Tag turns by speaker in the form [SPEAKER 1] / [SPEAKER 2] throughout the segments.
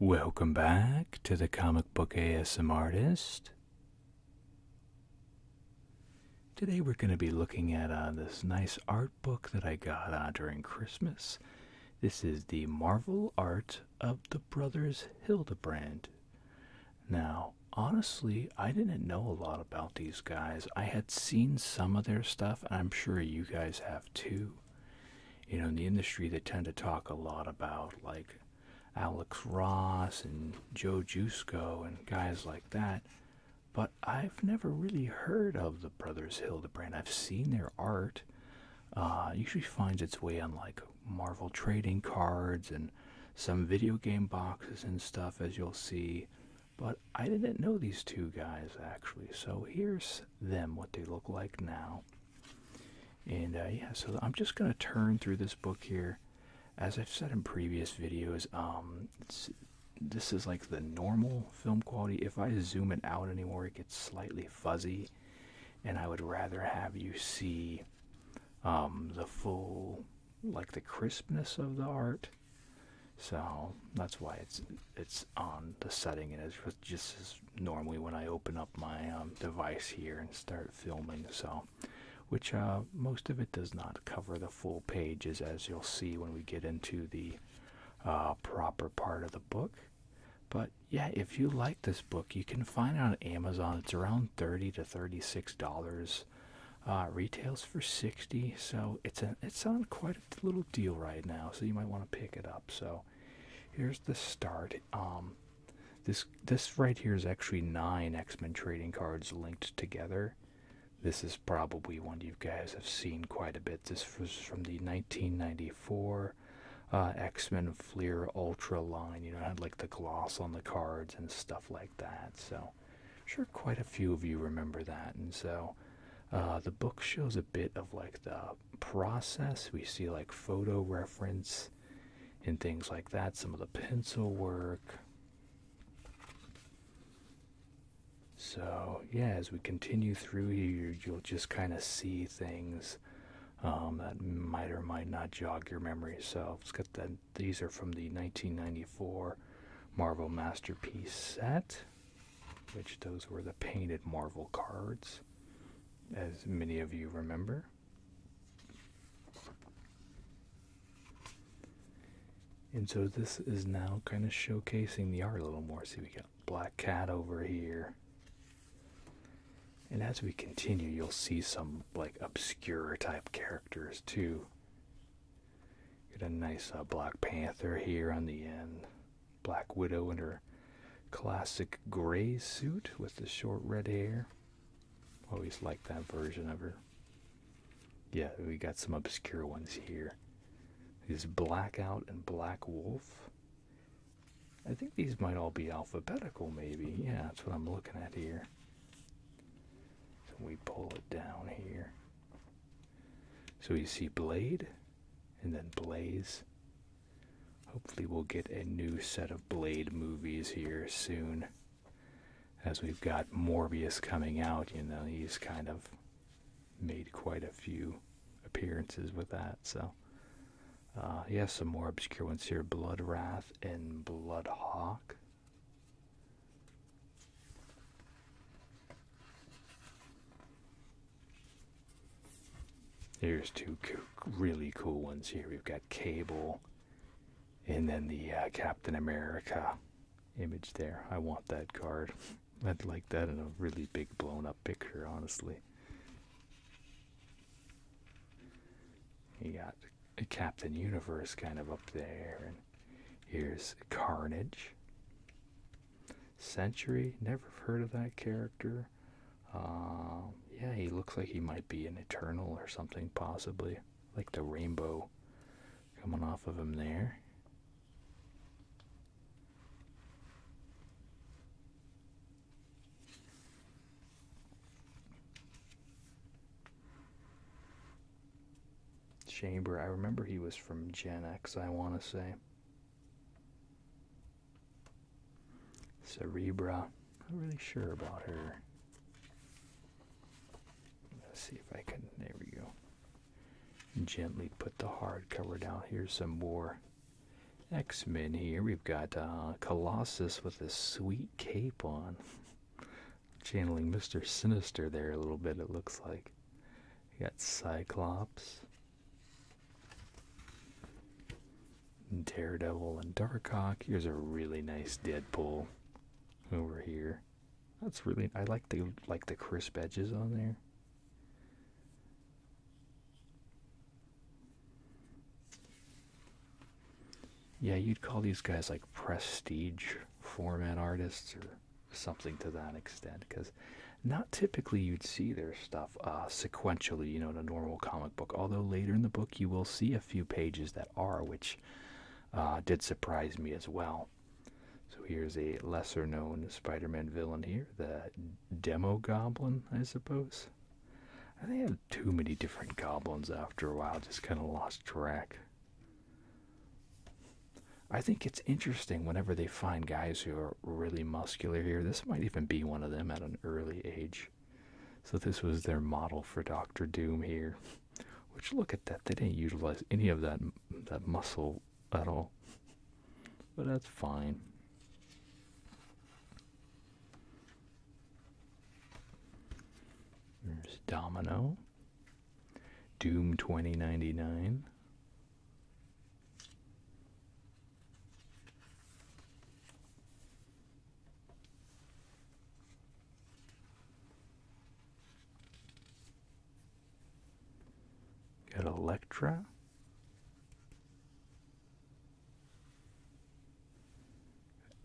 [SPEAKER 1] Welcome back to the Comic Book ASM Artist. Today we're going to be looking at uh, this nice art book that I got uh, during Christmas. This is the Marvel Art of the Brothers Hildebrand. Now, honestly, I didn't know a lot about these guys. I had seen some of their stuff, and I'm sure you guys have too. You know, in the industry, they tend to talk a lot about like Alex Ross and Joe Jusko and guys like that, but I've never really heard of the brothers Hildebrand. I've seen their art. Uh, usually finds its way on like Marvel trading cards and some video game boxes and stuff, as you'll see. But I didn't know these two guys actually, so here's them what they look like now. And uh, yeah, so I'm just gonna turn through this book here. As I've said in previous videos, um, this is like the normal film quality. If I zoom it out anymore, it gets slightly fuzzy, and I would rather have you see um, the full, like the crispness of the art. So that's why it's it's on the setting and it's just as normally when I open up my um, device here and start filming. So, which uh, most of it does not cover the full pages, as you'll see when we get into the uh, proper part of the book. But yeah, if you like this book, you can find it on Amazon. It's around thirty to thirty-six dollars. Uh, retails for sixty, so it's a it's on quite a little deal right now. So you might want to pick it up. So here's the start. Um, this this right here is actually nine X-Men trading cards linked together. This is probably one you guys have seen quite a bit. This was from the 1994 uh, X-Men Fleer Ultra line. You know, had like the gloss on the cards and stuff like that. So, sure quite a few of you remember that. And so, uh, the book shows a bit of like the process. We see like photo reference and things like that, some of the pencil work. So, yeah, as we continue through here, you'll just kind of see things um, that might or might not jog your memory. So, it's got that. These are from the 1994 Marvel Masterpiece set, which those were the painted Marvel cards as many of you remember. And so this is now kind of showcasing the art a little more. See, we got Black Cat over here. And as we continue, you'll see some like obscure type characters too. Get a nice uh, Black Panther here on the end. Black Widow in her classic gray suit with the short red hair. Always liked that version of her. Yeah, we got some obscure ones here. These Blackout and Black Wolf. I think these might all be alphabetical, maybe. Yeah, that's what I'm looking at here. So we pull it down here. So you see Blade, and then Blaze, Hopefully, we'll get a new set of Blade movies here soon. As we've got Morbius coming out, you know, he's kind of made quite a few appearances with that. So, uh, has some more obscure ones here Blood Wrath and Blood Hawk. There's two really cool ones here. We've got Cable and then the uh, Captain America image there. I want that card. I'd like that in a really big blown up picture, honestly. You got a Captain Universe kind of up there. and Here's Carnage. Century, never heard of that character. Um, yeah, he looks like he might be an Eternal or something, possibly. Like the rainbow coming off of him there. Chamber, I remember he was from Gen X, I want to say. Cerebra. Not really sure about her. Let's see if I can. There we go. Gently put the hardcover down. Here's some more X Men here. We've got uh, Colossus with a sweet cape on. Channeling Mr. Sinister there a little bit, it looks like. got Cyclops. Daredevil and Darkhawk. Here's a really nice Deadpool over here. That's really I like the like the crisp edges on there. Yeah, you'd call these guys like prestige format artists or something to that extent because not typically you'd see their stuff uh, sequentially, you know, in a normal comic book. Although later in the book, you will see a few pages that are, which uh, did surprise me as well. So here's a lesser known Spider Man villain here, the Demo Goblin, I suppose. I think I had too many different goblins after a while, just kind of lost track. I think it's interesting whenever they find guys who are really muscular here. This might even be one of them at an early age. So this was their model for Doctor Doom here. Which look at that, they didn't utilize any of that that muscle at all. But that's fine. There's Domino. Doom 2099. Got Electra.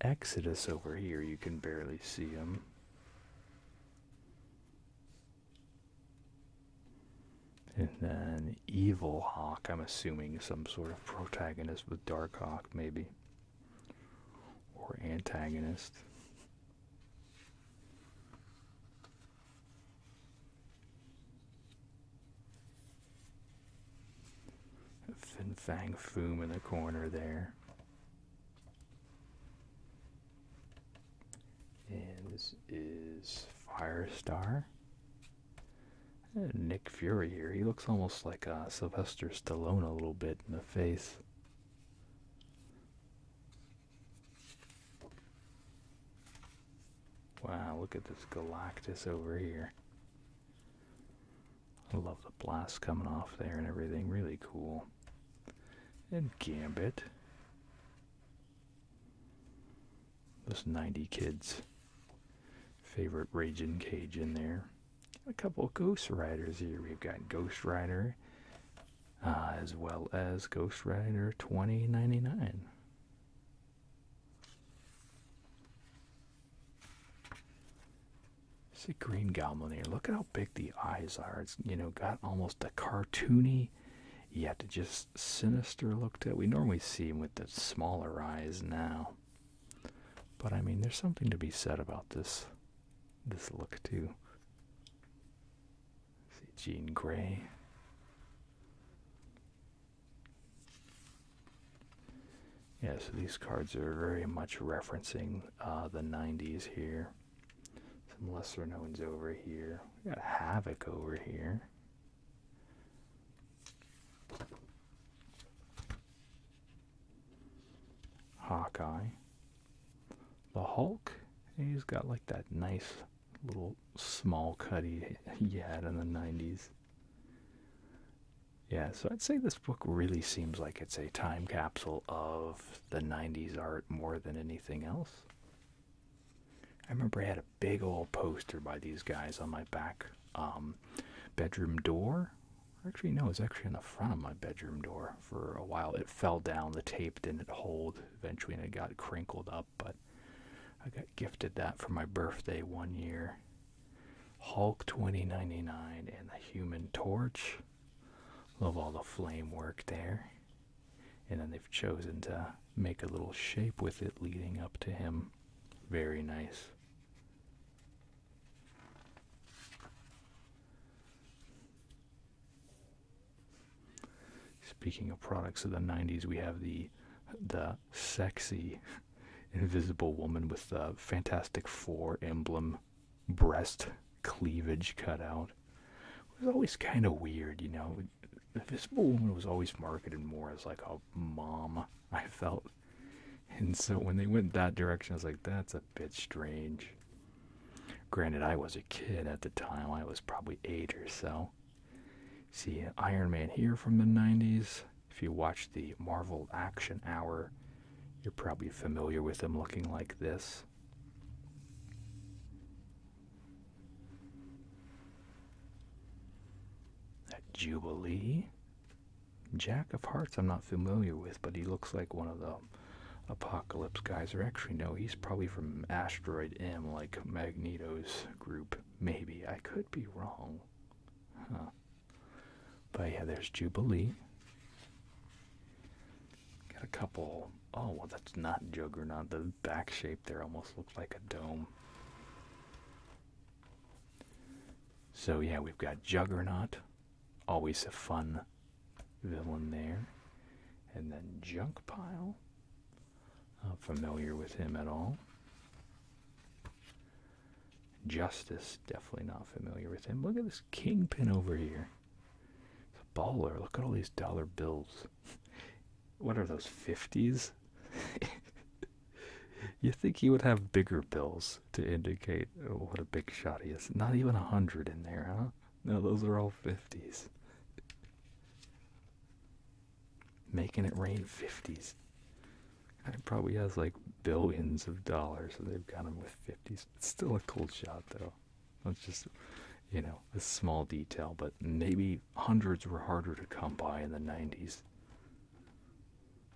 [SPEAKER 1] Exodus over here, you can barely see him. And then Evil Hawk, I'm assuming some sort of protagonist with Dark Hawk, maybe. Or antagonist. Fin Fang Foom in the corner there. And this is Firestar. Nick Fury here. He looks almost like uh, Sylvester Stallone a little bit in the face. Wow, look at this Galactus over here. I love the blast coming off there and everything. Really cool. And Gambit. Those 90 kids' favorite Raging Cage in there. A couple Ghost Riders here. We've got Ghost Rider uh, as well as Ghost Rider 2099. See Green Goblin here. Look at how big the eyes are. It's you know got almost a cartoony, yet just sinister looked at. We normally see him with the smaller eyes now. But I mean, there's something to be said about this this look too. See Jean Grey. Yeah, so these cards are very much referencing uh, the 90s here. Some lesser knowns over here. We got Havoc over here. Hawkeye. The Hulk, he's got like that nice little small cutie he, had in the 90s. Yeah, so I'd say this book really seems like it's a time capsule of the 90s art more than anything else. I remember I had big old poster by these guys on my back um, bedroom door. Actually, no, it's actually on the front of my bedroom door for a while. It fell down, the tape didn't hold eventually, it got crinkled up. But I got gifted that for my birthday one year. Hulk 2099 and the Human Torch. Love all the flame work there. And then they've chosen to make a little shape with it leading up to him. Very nice. Speaking of products of the 90s, we have the the sexy invisible woman with the Fantastic Four emblem breast cleavage cut out. It was always kind of weird, you know this balloon was always marketed more as like a mom, I felt. And so when they went that direction, I was like, that's a bit strange. Granted, I was a kid at the time, I was probably eight or so. See Iron Man here from the 90s. If you watch the Marvel Action Hour, you're probably familiar with him looking like this. That Jubilee. Jack of Hearts, I'm not familiar with, but he looks like one of the apocalypse guys. Or actually, no, he's probably from Asteroid M, like Magneto's group. Maybe. I could be wrong. Huh. But yeah, there's Jubilee. Got a couple. Oh, well, that's not Juggernaut. The back shape there almost looks like a dome. So yeah, we've got Juggernaut, always a fun villain there, and then Junkpile. Not familiar with him at all. Justice, definitely not familiar with him. Look at this kingpin over here. It's a baller. Look at all these dollar bills what are those 50s? you think he would have bigger bills to indicate oh, what a big shot he is. Not even a hundred in there, huh? No, those are all 50s. Making it rain 50s. It probably has like billions of dollars, and they've got him with 50s. It's still a cool shot, though. It's just, you know, a small detail, but maybe hundreds were harder to come by in the 90s.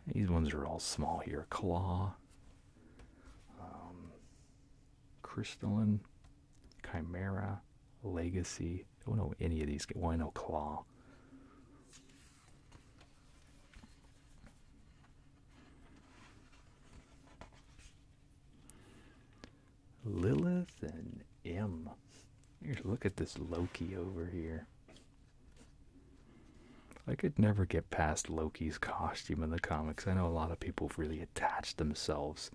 [SPEAKER 1] These ones are all small here. Claw, um, Crystalline, Chimera, Legacy. Don't know any of these. Well, I know Claw. Lilith and M look at this Loki over here. I could never get past Loki's costume in the comics. I know a lot of people really attached themselves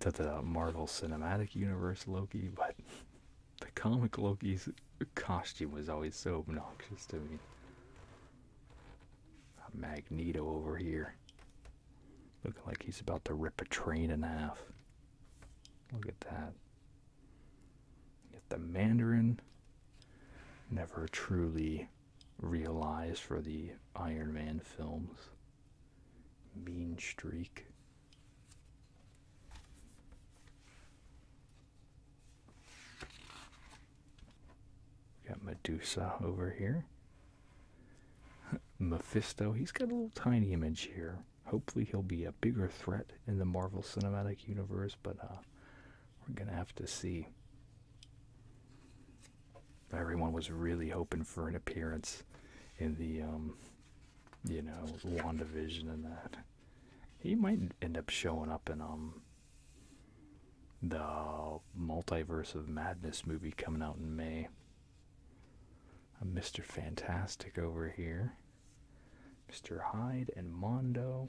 [SPEAKER 1] to the Marvel Cinematic Universe Loki, but the comic Loki's costume was always so obnoxious to me. Magneto over here. Looking like he's about to rip a train in half. Look at that. Yet the Mandarin never truly realized for the Iron Man films. Mean Streak. got Medusa over here. Mephisto, he's got a little tiny image here. Hopefully he'll be a bigger threat in the Marvel Cinematic Universe, but uh, we're gonna have to see. Everyone was really hoping for an appearance in the, um, you know, WandaVision and that. He might end up showing up in um the Multiverse of Madness movie coming out in May. A uh, Mr. Fantastic over here. Mr. Hyde and Mondo.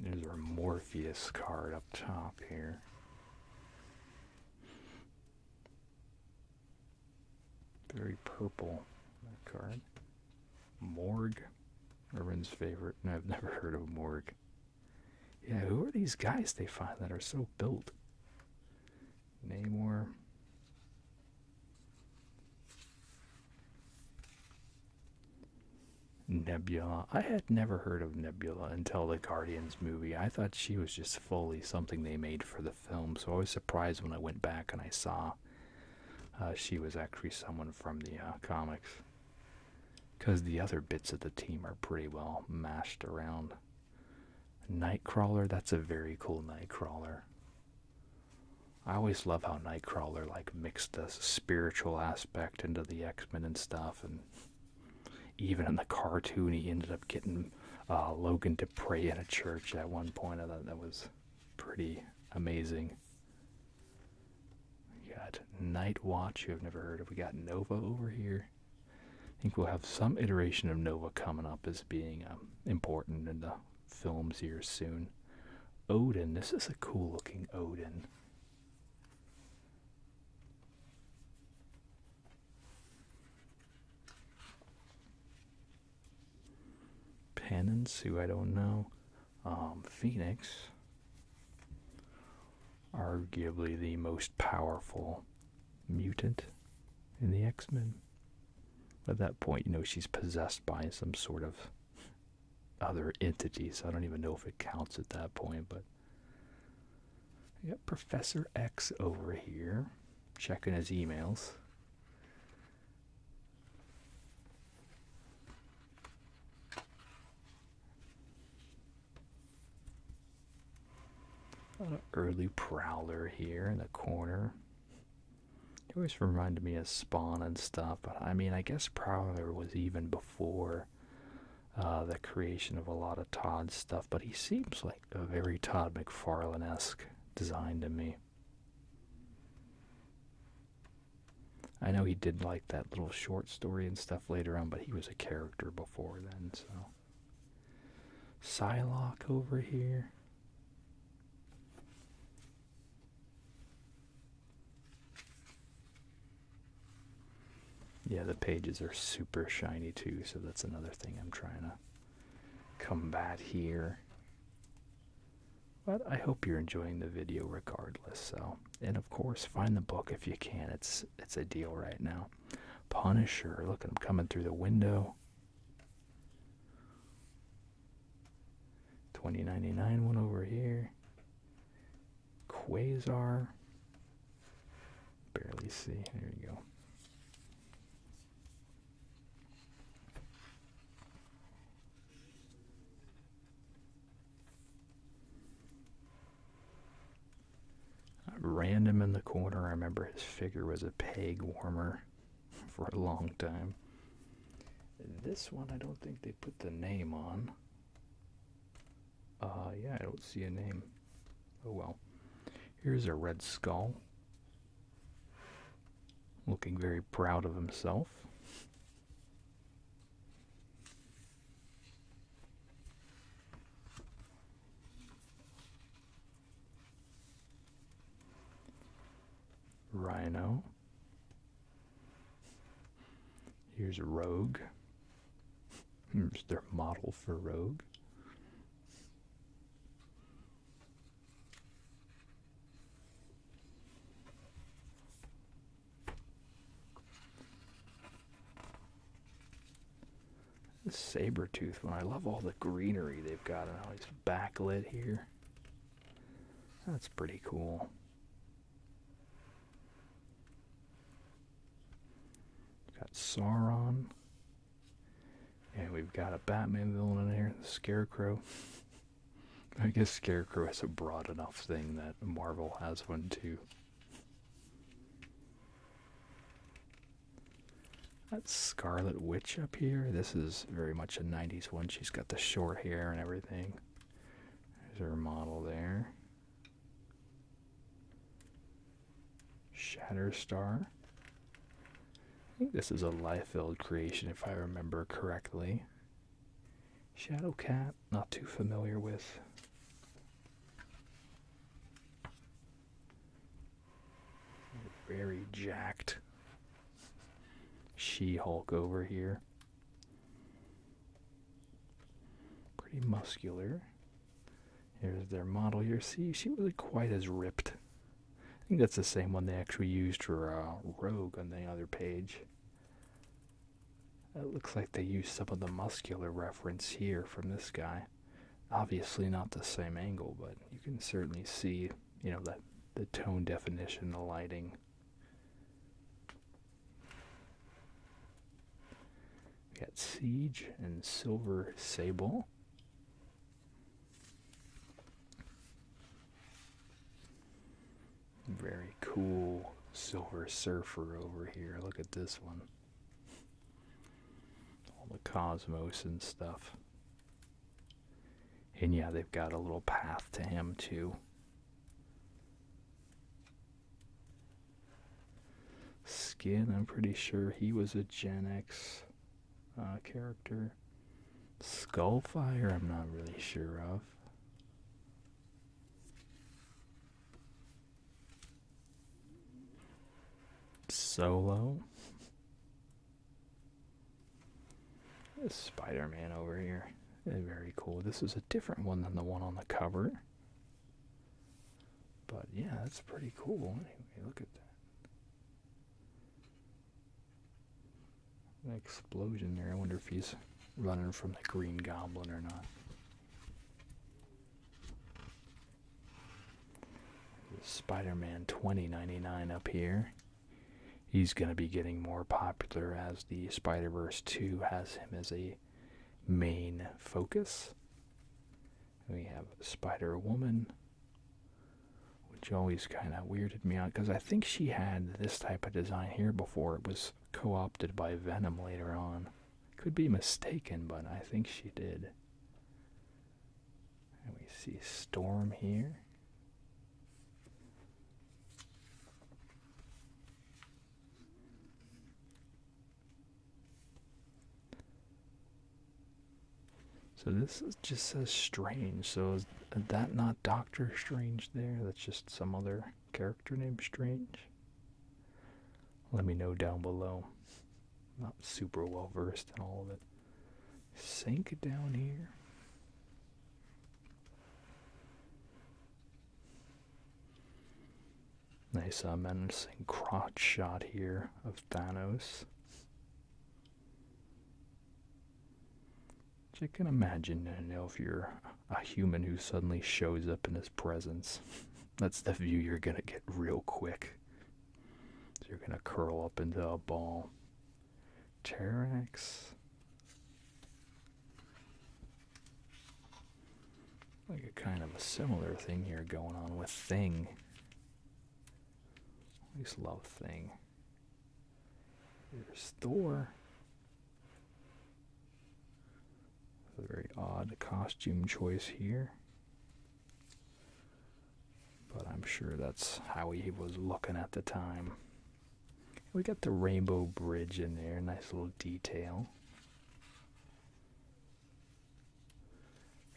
[SPEAKER 1] There's our Morpheus card up top here. Very purple, card. Morg. Everyone's favorite. and I've never heard of Morg. Yeah, who are these guys they find that are so built? Namor. Nebula. I had never heard of Nebula until the Guardians movie. I thought she was just fully something they made for the film, so I was surprised when I went back and I saw uh, she was actually someone from the uh, comics. Because the other bits of the team are pretty well mashed around. Nightcrawler, that's a very cool Nightcrawler. I always love how Nightcrawler like mixed the spiritual aspect into the X-Men and stuff, and even in the cartoon, he ended up getting uh, Logan to pray in a church at one point. I thought that was pretty amazing. We got Night Watch, who have never heard of. We got Nova over here. I think we'll have some iteration of Nova coming up as being um, important in the films here soon. Odin, this is a cool looking Odin. Penance, who I don't know. Um, Phoenix arguably the most powerful mutant in the X-Men. At that point, you know, she's possessed by some sort of other entity, so I don't even know if it counts at that point, but we got Professor X over here checking his emails. An early prowler here in the corner. It always reminded me of Spawn and stuff, but I mean, I guess Prowler was even before uh, the creation of a lot of Todd stuff, but he seems like a very Todd McFarlane esque design to me. I know he did like that little short story and stuff later on, but he was a character before then, so. Psylocke over here. Yeah, the pages are super shiny too, so that's another thing I'm trying to combat here. But I hope you're enjoying the video regardless, so. And of course, find the book if you can. It's it's a deal right now. Punisher, look at him coming through the window. 2099 one over here. Quasar. Barely see. There you go. Random in the corner. I remember his figure was a peg warmer for a long time. This one I don't think they put the name on. Uh, yeah, I don't see a name. Oh well. Here's a red skull. Looking very proud of himself. Rhino. Here's Rogue. Here's their model for Rogue. This saber tooth one. I love all the greenery they've got and all these backlit here. That's pretty cool. We've got Sauron. And we've got a Batman villain in here, the Scarecrow. I guess Scarecrow is a broad enough thing that Marvel has one too. That Scarlet Witch up here, this is very much a 90s one. She's got the short hair and everything. There's her model there. Shatterstar. I think this is a Liefeld creation if I remember correctly. Shadowcat, not too familiar with. Very jacked She Hulk over here. Pretty muscular. Here's their model here. See, she wasn't quite as ripped. I think that's the same one they actually used for uh, Rogue on the other page. It looks like they used some of the muscular reference here from this guy. Obviously not the same angle, but you can certainly see, you know, that the tone definition, the lighting. We got Siege and Silver Sable. Very cool Silver Surfer over here. Look at this one all the cosmos and stuff. And yeah, they've got a little path to him too. Skin, I'm pretty sure he was a Gen X uh, character. Skullfire, I'm not really sure of. Solo. Spider Man over here. Very cool. This is a different one than the one on the cover. But yeah, that's pretty cool. Anyway, look at that. explosion there. I wonder if he's running from the Green Goblin or not. Spider-Man 2099 up here. He's going to be getting more popular as the Spider-Verse 2 has him as a main focus. We have Spider-Woman, which always kind of weirded me out because I think she had this type of design here before. It was co-opted by Venom later on could be mistaken, but I think she did. And we see Storm here. So this is, just says Strange. So is that not Doctor Strange there? That's just some other character named Strange. Let me know down below. I'm not super well versed in all of it. Sink down here. Nice uh, menacing crotch shot here of Thanos. Which I can imagine, you know, if you a human who suddenly shows up in his presence. That's the view you're going to get real quick. So you're going to curl up into a ball. T-Rex. Like a kind of a similar thing here going on with Thing. I love Thing. There's Thor very odd costume choice here. But I'm sure that's how he was looking at the time. We got the rainbow bridge in there, nice little detail.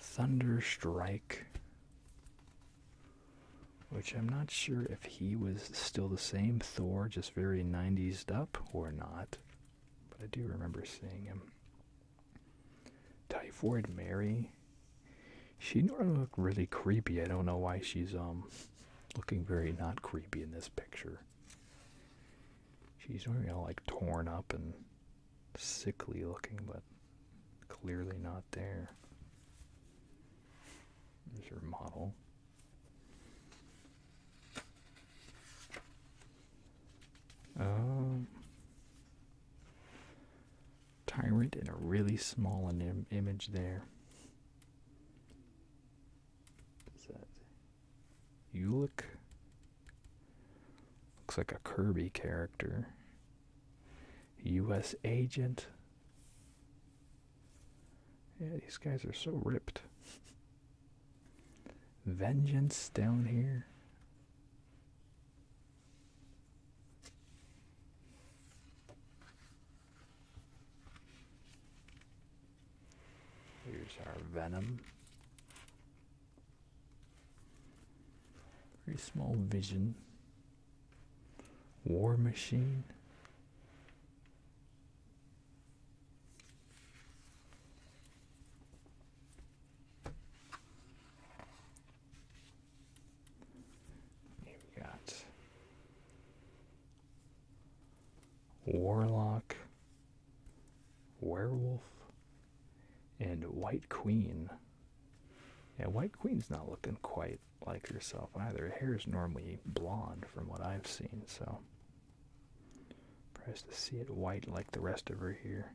[SPEAKER 1] Thunderstrike, which I'm not sure if he was still the same Thor, just very 90s up or not, but I do remember seeing him. Typhoid Mary. She normally look really creepy. I don't know why she's um looking very not creepy in this picture. She's normally all like torn up and sickly looking, but clearly not there. There's her model. Um, tyrant in a really small image there. Is that Ulick? Looks like a Kirby character. U.S. agent. Yeah, these guys are so ripped. Vengeance down here. Here's our venom. Very small vision. War machine you got Warlock, Werewolf, and White Queen. Yeah, White Queen's not looking quite like herself either. Her hair is normally blonde from what I've seen, so Press to see it white like the rest of her here.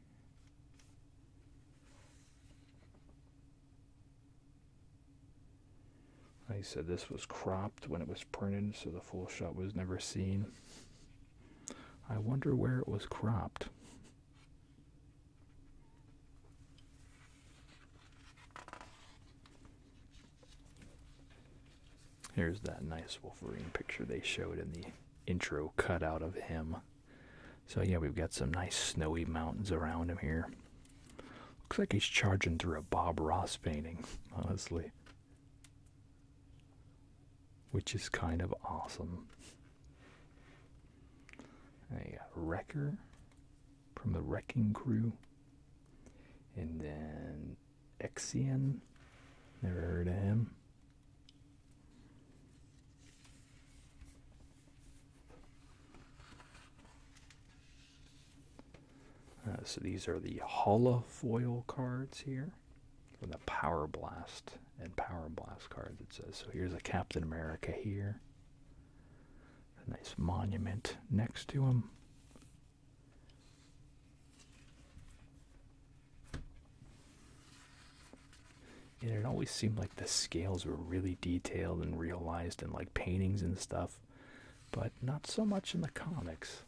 [SPEAKER 1] I said, this was cropped when it was printed, so the full shot was never seen. I wonder where it was cropped. Here's that nice Wolverine picture they showed in the intro cutout of him. So, yeah, we've got some nice snowy mountains around him here. Looks like he's charging through a Bob Ross painting, honestly. Which is kind of awesome. A wrecker from the wrecking crew. And then Exian. Never heard of him. Uh, so these are the holofoil cards here, and the Power Blast and Power Blast cards. It says so. Here's a Captain America here, a nice monument next to him. And it always seemed like the scales were really detailed and realized in like paintings and stuff, but not so much in the comics.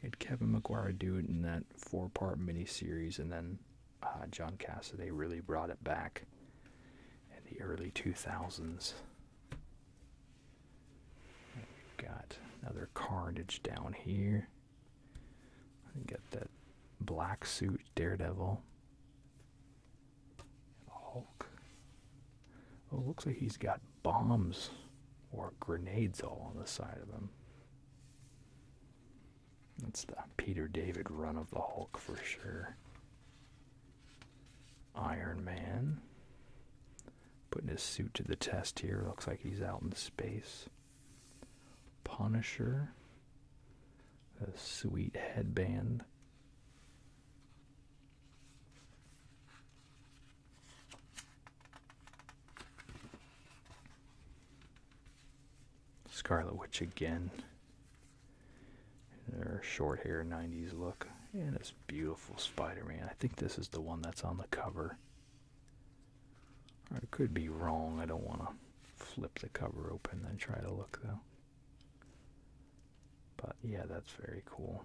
[SPEAKER 1] It had Kevin McGuire do it in that four part miniseries, and then uh, John Cassaday really brought it back in the early 2000s. got another carnage down here. Get that black suit Daredevil. Hulk. Oh, looks like he's got bombs or grenades all on the side of him. That's the Peter David run of the Hulk for sure. Iron Man. Putting his suit to the test here. Looks like he's out in space. Punisher, a sweet headband. Scarlet Witch again. Her short hair 90s look. And this beautiful Spider Man. I think this is the one that's on the cover. I could be wrong. I don't want to flip the cover open and try to look, though. But yeah, that's very cool.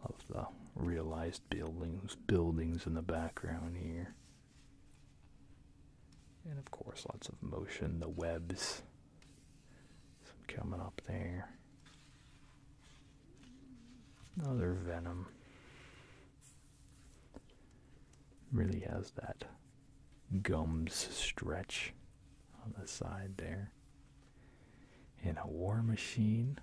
[SPEAKER 1] Love the realized buildings, buildings in the background here. And of course, lots of motion, the webs coming up there. Another Venom. Really has that gums stretch on the side there. And a war machine.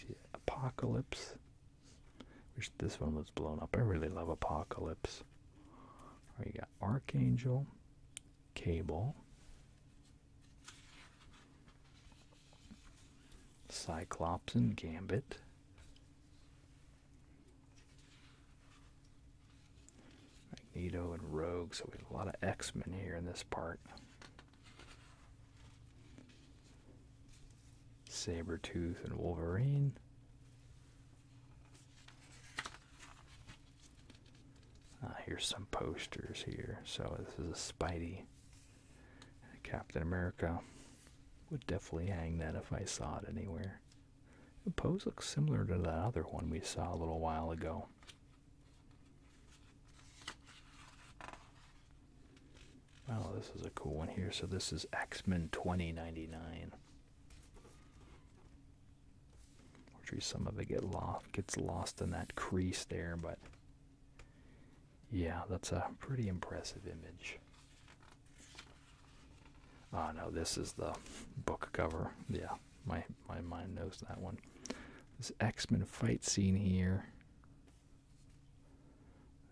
[SPEAKER 1] See, Apocalypse. Wish this one was blown up. I really love Apocalypse. We got Archangel, Cable, Cyclops and Gambit. Magneto and Rogue, so we have a lot of X-Men here in this part. Saber Tooth and Wolverine. Ah, here's some posters here. So this is a Spidey Captain America would definitely hang that if I saw it anywhere. The pose looks similar to that other one we saw a little while ago. Wow, this is a cool one here. So this is X-Men 2099. Which some of it get gets lost in that crease there, but yeah, that's a pretty impressive image. Ah, oh, no, this is the book cover. Yeah, my my mind knows that one. This X-Men fight scene here.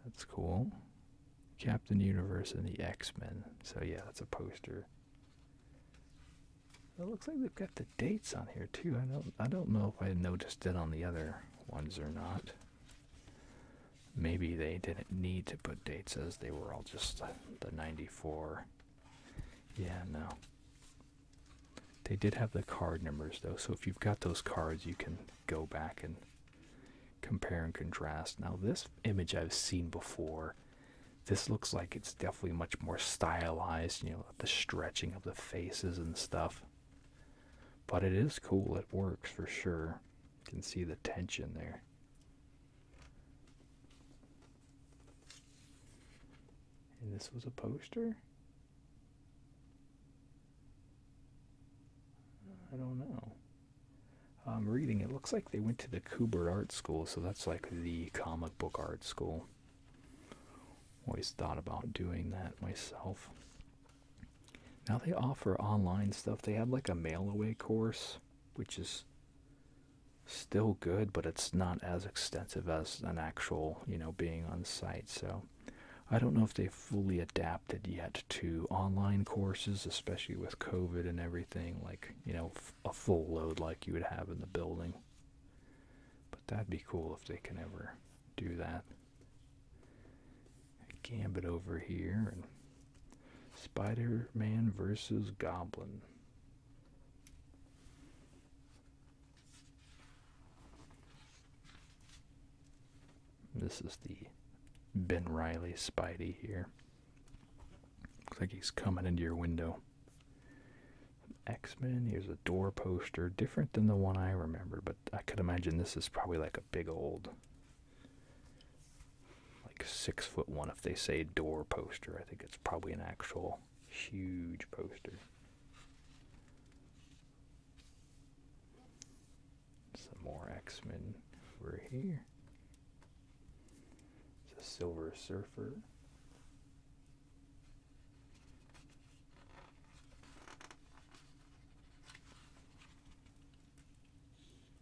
[SPEAKER 1] That's cool. Captain Universe and the X-Men. So yeah, that's a poster. It looks like they've got the dates on here too. I don't I don't know if I noticed it on the other ones or not. Maybe they didn't need to put dates as they were all just the 94. Yeah, no. They did have the card numbers though, so if you've got those cards, you can go back and compare and contrast. Now, this image I've seen before. This looks like it's definitely much more stylized, you know, the stretching of the faces and stuff. But it is cool, it works for sure. You can see the tension there. And this was a poster? I don't know. I'm reading, it looks like they went to the Coober Art School, so that's like the comic book art school. Always thought about doing that myself. Now they offer online stuff. They have like a mail away course, which is still good, but it's not as extensive as an actual, you know, being on site. So I don't know if they fully adapted yet to online courses, especially with COVID and everything, like, you know, a full load like you would have in the building. But that'd be cool if they can ever do that. Gambit over here and Spider-Man versus Goblin. This is the Ben Riley Spidey here. Looks like he's coming into your window. X-Men, here's a door poster, different than the one I remember, but I could imagine this is probably like a big old like six foot one if they say door poster. I think it's probably an actual huge poster. Some more X-Men over here. It's a Silver Surfer.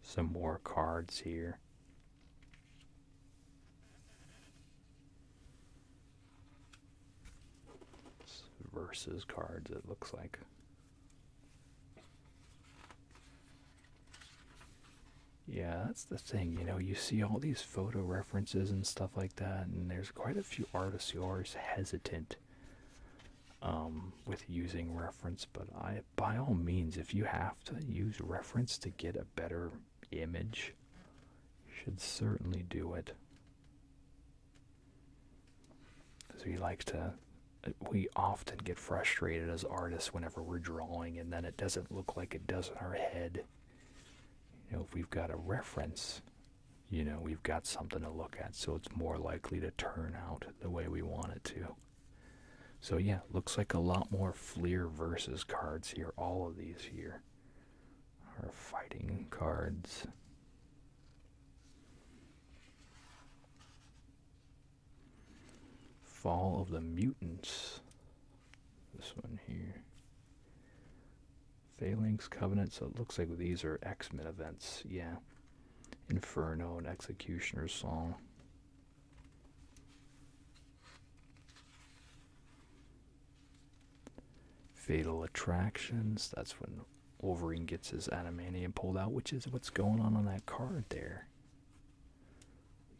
[SPEAKER 1] Some more cards here. versus cards, it looks like. Yeah, that's the thing. You know, you see all these photo references and stuff like that, and there's quite a few artists who are hesitant um, with using reference, but I, by all means, if you have to use reference to get a better image, you should certainly do it. So we like to, we often get frustrated as artists whenever we're drawing, and then it doesn't look like it does in our head. You know, if we've got a reference, you know, we've got something to look at, so it's more likely to turn out the way we want it to. So, yeah, looks like a lot more Fleer versus cards here. All of these here are fighting cards. Fall of the Mutants. This one here. Phalanx Covenant, so it looks like these are X Men events, yeah. Inferno and Executioner's Song. Fatal Attractions, that's when Wolverine gets his adamantium pulled out, which is what's going on on that card there.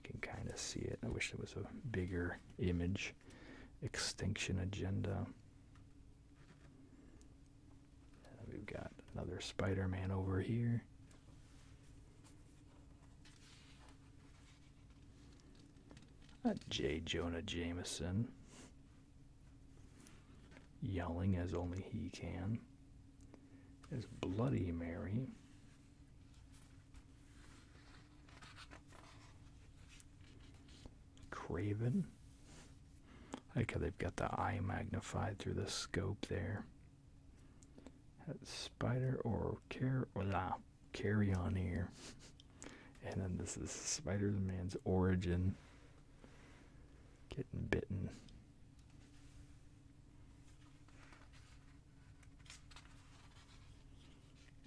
[SPEAKER 1] You can kind of see it. I wish there was a bigger image. Extinction Agenda. We've got another Spider-Man over here. A J. Jonah Jameson yelling as only he can. Is Bloody Mary. Craven. I like how they've got the eye magnified through the scope there. That's spider or carry on here. And then this is Spider Man's origin. Getting bitten.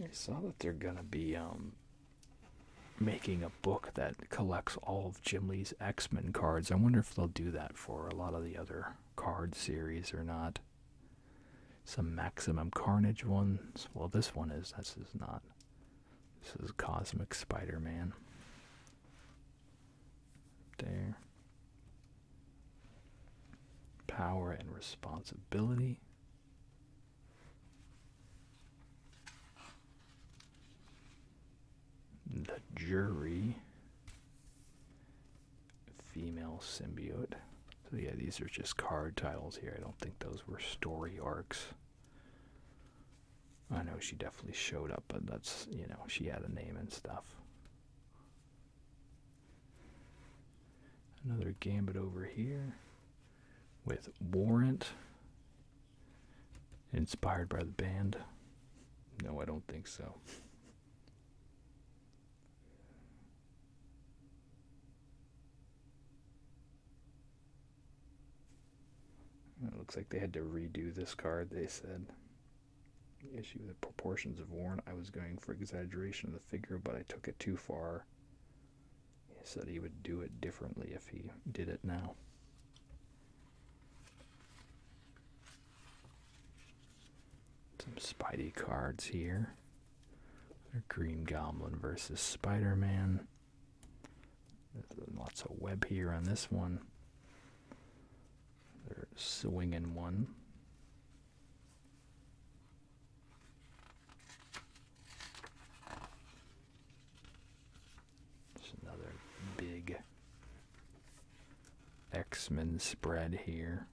[SPEAKER 1] I saw that they're gonna be um making a book that collects all of Jim Lee's X-Men cards. I wonder if they'll do that for a lot of the other card series or not. Some Maximum Carnage ones. Well, this one is. This is not. This is Cosmic Spider-Man. There. Power and responsibility. The Jury, Female Symbiote. So, yeah, these are just card titles here. I don't think those were story arcs. I know she definitely showed up, but that's, you know, she had a name and stuff. Another gambit over here with Warrant. Inspired by the band? No, I don't think so. It looks like they had to redo this card, they said. issue the proportions of Warren. I was going for exaggeration of the figure, but I took it too far. He said he would do it differently if he did it now. Some Spidey cards here. Green Goblin versus Spider Man. Lots of web here on this one. They're swinging one. There's another big X-Men spread here.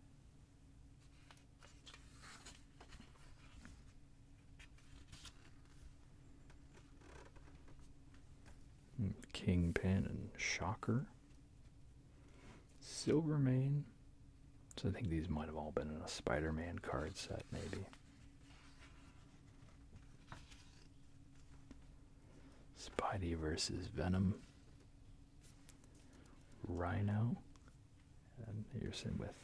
[SPEAKER 1] Kingpin and Shocker. Silvermane. So I think these might have all been in a Spider-Man card set, maybe. Spidey versus Venom. Rhino. And you're sitting with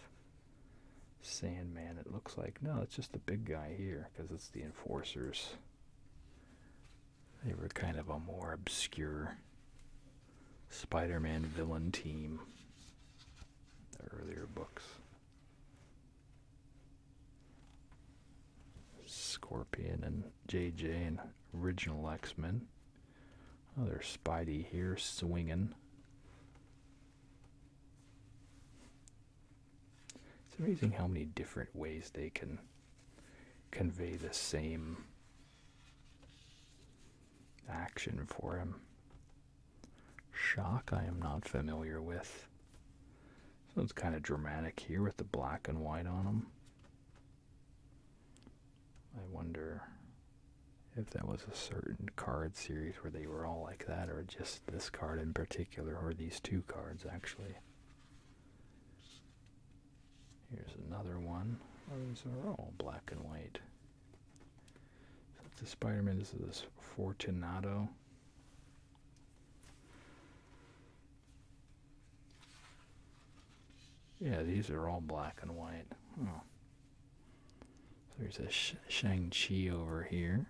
[SPEAKER 1] Sandman, it looks like. No, it's just the big guy here, because it's the Enforcers. They were kind of a more obscure Spider Man villain team earlier books. Scorpion and JJ and original X Men. Oh, there's Spidey here swinging. It's amazing how many different ways they can convey the same action for him. Shock, I am not familiar with. So it's kind of dramatic here with the black and white on them. I wonder if that was a certain card series where they were all like that, or just this card in particular, or these two cards actually. Here's another one. Oh, these are all black and white. It's a Spider-Man. This is this Fortunato. Yeah, these are all black and white. Oh. there's a Sh Shang-Chi over here.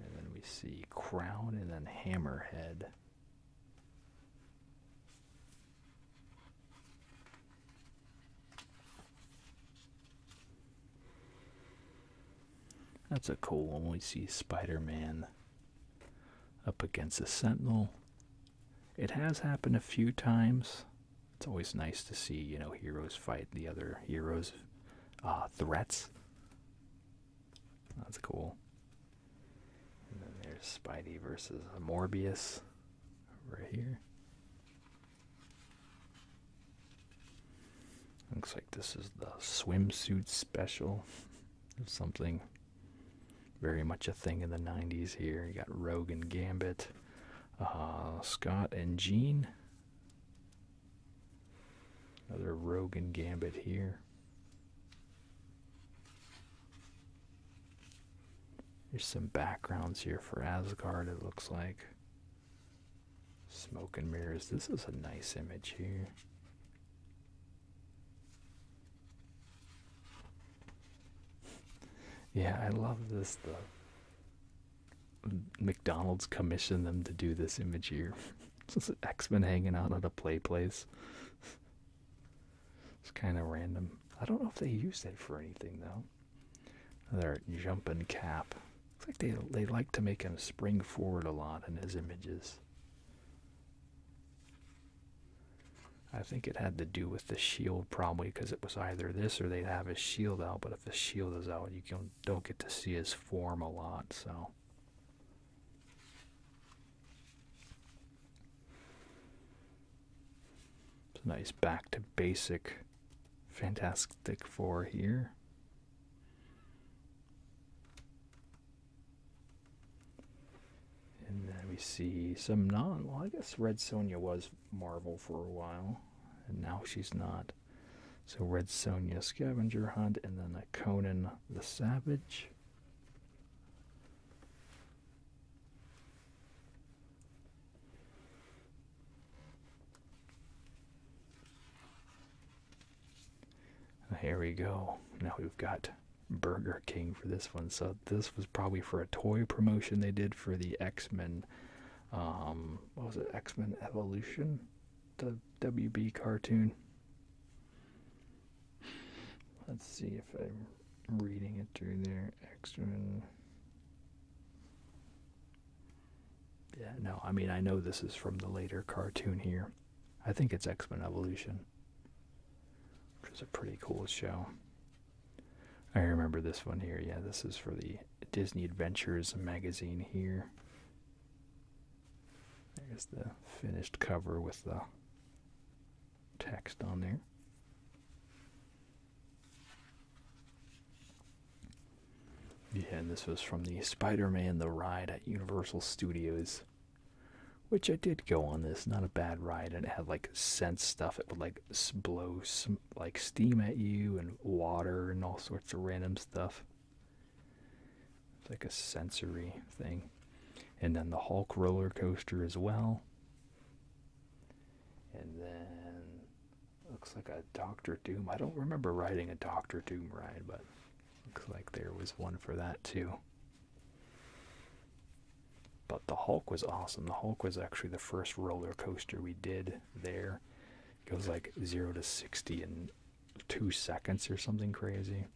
[SPEAKER 1] And then we see Crown and then Hammerhead. That's a cool one. We see Spider Man up against a Sentinel. It has happened a few times. It's always nice to see, you know, heroes fight the other heroes' uh, threats. That's cool. And then there's Spidey versus Morbius right here. Looks like this is the swimsuit special. Something very much a thing in the 90s here. You got Rogue and Gambit, uh, Scott and Jean. Another Rogue and Gambit here. There's some backgrounds here for Asgard, it looks like. Smoke and mirrors. This is a nice image here. Yeah, I love this. The McDonald's commissioned them to do this image here. It's just X Men hanging out at a play place. It's kind of random. I don't know if they used it for anything though. Their jumping cap. Looks like they they like to make him spring forward a lot in his images. I think it had to do with the shield probably because it was either this or they'd have his shield out. But if the shield is out, you can, don't get to see his form a lot. So. It's a nice back to basic Fantastic Four here. And then we see some non. Well, I guess Red Sonja was Marvel for a while, and now she's not. So Red Sonja Scavenger Hunt, and then a Conan the Savage. Here we go. Now we've got Burger King for this one. So this was probably for a toy promotion they did for the X-Men. Um, what was it? X-Men Evolution, the WB cartoon. Let's see if i reading it through there X Men. Yeah, no, I mean, I know this is from the later cartoon here. I think it's X-Men Evolution, which is a pretty cool show. I remember this one here. Yeah, this is for the Disney Adventures magazine here. There's the finished cover with the text on there. Yeah, and this was from the Spider Man The Ride at Universal Studios, which I did go on this. Not a bad ride, and it had like scent stuff. It would like blow like steam at you, and water, and all sorts of random stuff. It's like a sensory thing. And then the Hulk roller coaster as well and then looks like a Doctor Doom. I don't remember riding a Doctor Doom ride, but looks like there was one for that too. But the Hulk was awesome. The Hulk was actually the first roller coaster we did there. It goes like 0 to 60 in 2 seconds or something crazy.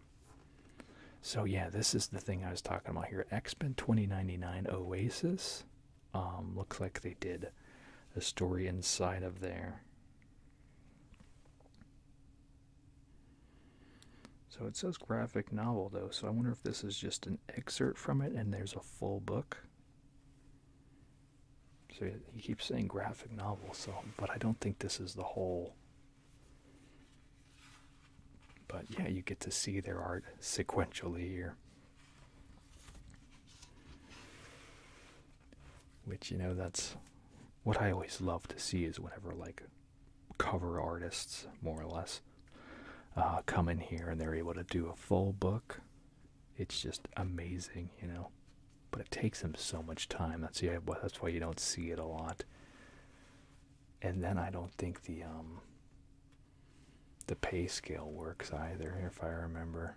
[SPEAKER 1] So yeah, this is the thing I was talking about here. X-Men 2099 Oasis um, looks like they did a story inside of there. So it says graphic novel though, so I wonder if this is just an excerpt from it and there's a full book. So he keeps saying graphic novel, so but I don't think this is the whole but yeah, you get to see their art sequentially here. Which, you know, that's what I always love to see is whenever, like, cover artists, more or less, uh, come in here and they're able to do a full book. It's just amazing, you know. But it takes them so much time. That's yeah. That's why you don't see it a lot. And then I don't think the um, the pay scale works either, if I remember.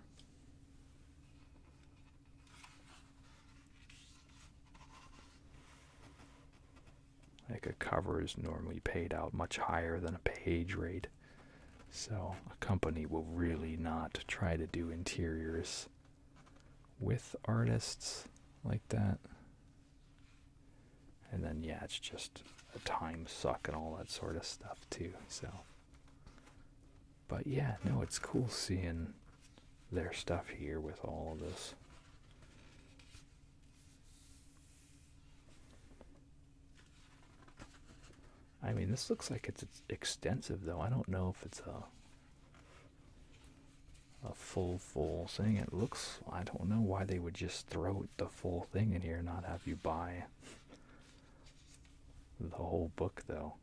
[SPEAKER 1] Like a cover is normally paid out much higher than a page rate. So a company will really not try to do interiors with artists like that. And then, yeah, it's just a time suck and all that sort of stuff, too. So, but yeah, no, it's cool seeing their stuff here with all of this. I mean, this looks like it's, it's extensive, though. I don't know if it's a a full full thing. It looks I don't know why they would just throw the full thing in here, not have you buy the whole book, though.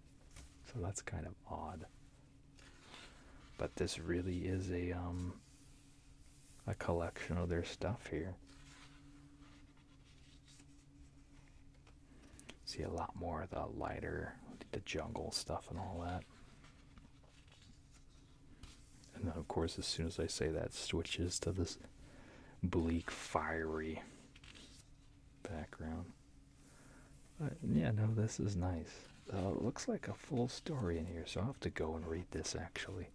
[SPEAKER 1] So that's kind of odd. But this really is a um a collection of their stuff here. See a lot more of the lighter, the jungle stuff and all that. And then, of course, as soon as I say that, switches to this bleak, fiery background. yeah, no, this is nice. Uh, it looks like a full story in here, so I'll have to go and read this actually.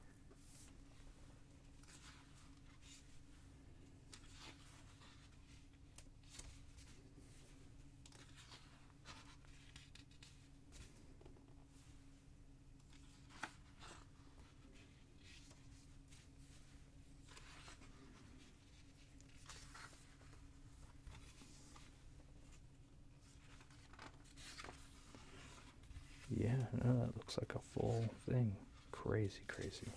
[SPEAKER 1] Yeah, that looks like a full thing. Crazy, crazy.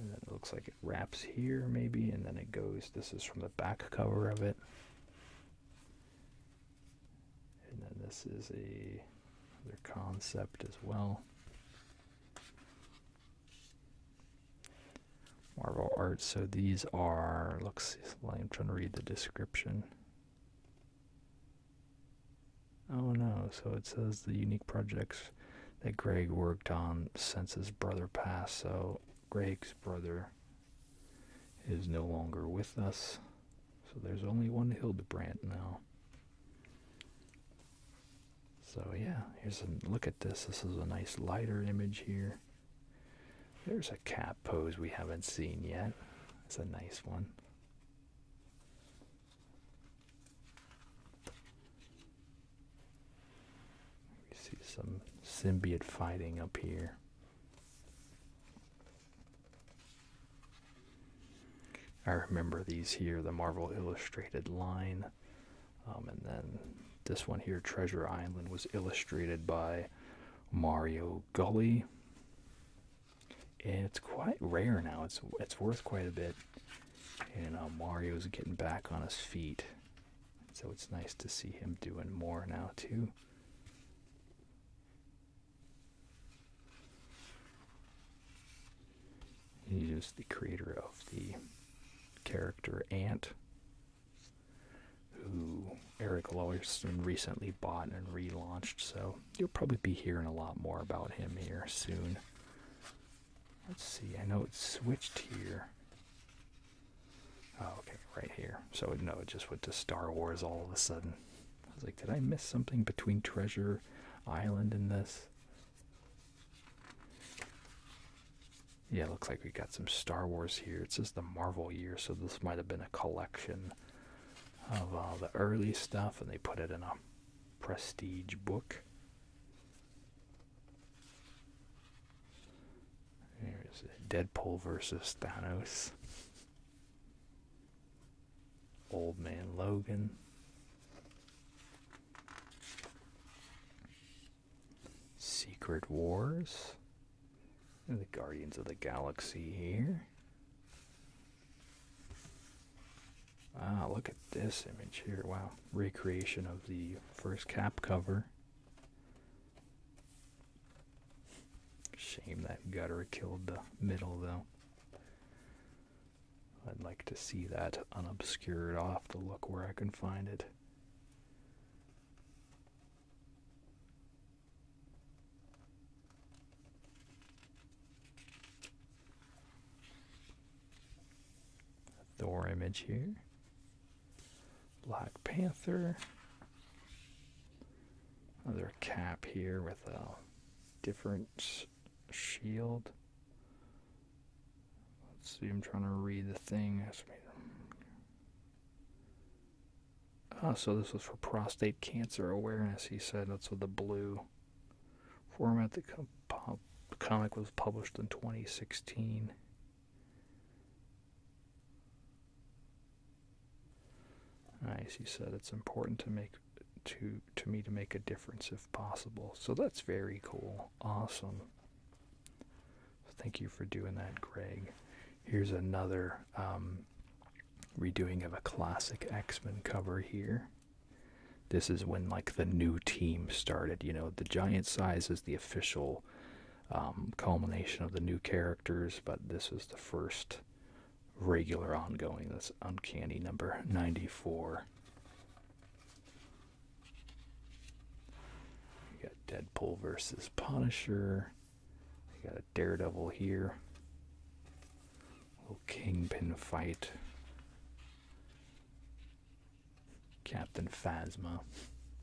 [SPEAKER 1] And then looks like it wraps here maybe, and then it goes, this is from the back cover of it. And then this is a other concept as well. Marvel art. So these are. Looks. I'm trying to read the description. Oh no! So it says the unique projects that Greg worked on since his brother passed. So Greg's brother is no longer with us. So there's only one Hildebrand now. So yeah, here's a look at this. This is a nice lighter image here. There's a cat pose we haven't seen yet. It's a nice one. We see some symbiote fighting up here. I remember these here, the Marvel Illustrated line. Um, and then this one here, Treasure Island, was illustrated by Mario Gully. it's quite rare now. It's it's worth quite a bit. And uh, Mario's getting back on his feet. So it's nice to see him doing more now too. He's just the creator of the character Ant, who Eric Larson recently bought and relaunched. So you'll probably be hearing a lot more about him here soon. Let's see, I know it's switched here. Oh, okay, right here. So no, it just went to Star Wars all of a sudden. I was like, did I miss something between Treasure Island and this? Yeah, looks like we got some Star Wars here. It says the Marvel year, so this might have been a collection of all the early stuff, and they put it in a prestige book. There's Deadpool versus Thanos. Old Man Logan. Secret Wars. the Guardians of the Galaxy here. Ah, look at this image here. Wow. Recreation of the first cap cover. Shame that gutter killed the middle, though. I'd like to see that unobscured. off the look where I can find it. Thor image here. Black Panther. Another cap here with a different shield. Let's see, I'm trying to read the thing. Ah, so this was for prostate cancer awareness, he said. That's what the blue format. The comic was published in 2016. Nice, he said it's important to make to to me to make a difference if possible. So that's very cool. Awesome. Thank you for doing that, Greg. Here's another um, redoing of a classic X-Men cover here. This is when like the new team started. You know, the giant size is the official um, culmination of the new characters, but this is the first regular ongoing. That's Uncanny number 94. You got Deadpool versus Punisher. You got a Daredevil here. little Kingpin fight. Captain Phasma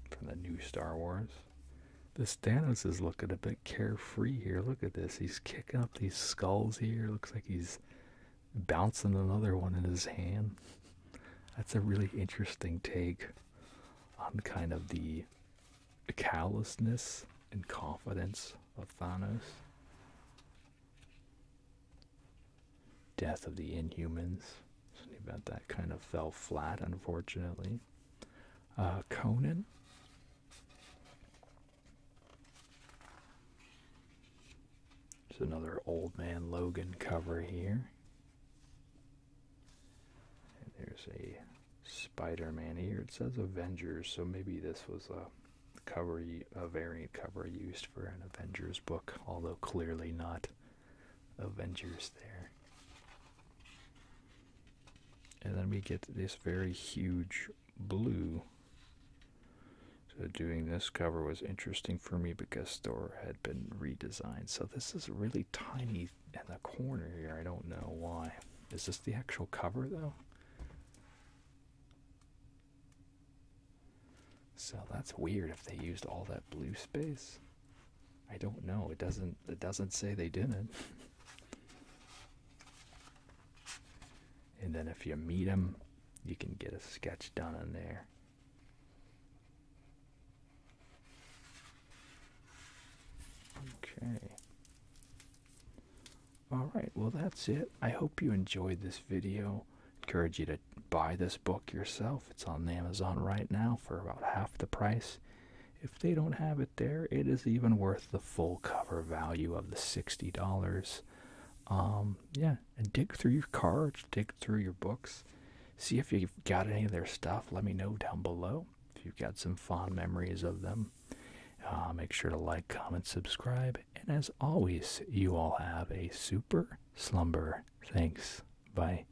[SPEAKER 1] from the new Star Wars. This Thanos is looking a bit carefree here. Look at this. He's kicking up these skulls here. Looks like he's bouncing another one in his hand. That's a really interesting take on kind of the callousness and confidence of Thanos. Death of the Inhumans. Something about that kind of fell flat, unfortunately. Uh, Conan. There's another Old Man Logan cover here. And there's a Spider-Man here. It says Avengers, so maybe this was a cover, a variant cover used for an Avengers book, although clearly not. Avengers there. And then we get this very huge blue. So doing this cover was interesting for me because Thor had been redesigned. So this is really tiny in the corner here. I don't know why. Is this the actual cover though? So that's weird if they used all that blue space. I don't know. It doesn't it doesn't say they didn't. and then if you meet them, you can get a sketch done in there. Okay. All right, well that's it. I hope you enjoyed this video. Encourage you to buy this book yourself. It's on Amazon right now for about half the price. If they don't have it there, it is even worth the full cover value of the $60. Um, yeah, dig through your cards, dig through your books, see if you've got any of their stuff. Let me know down below if you've got some fond memories of them. Uh, make sure to like, comment, subscribe, and as always, you all have a super slumber. Thanks. Bye.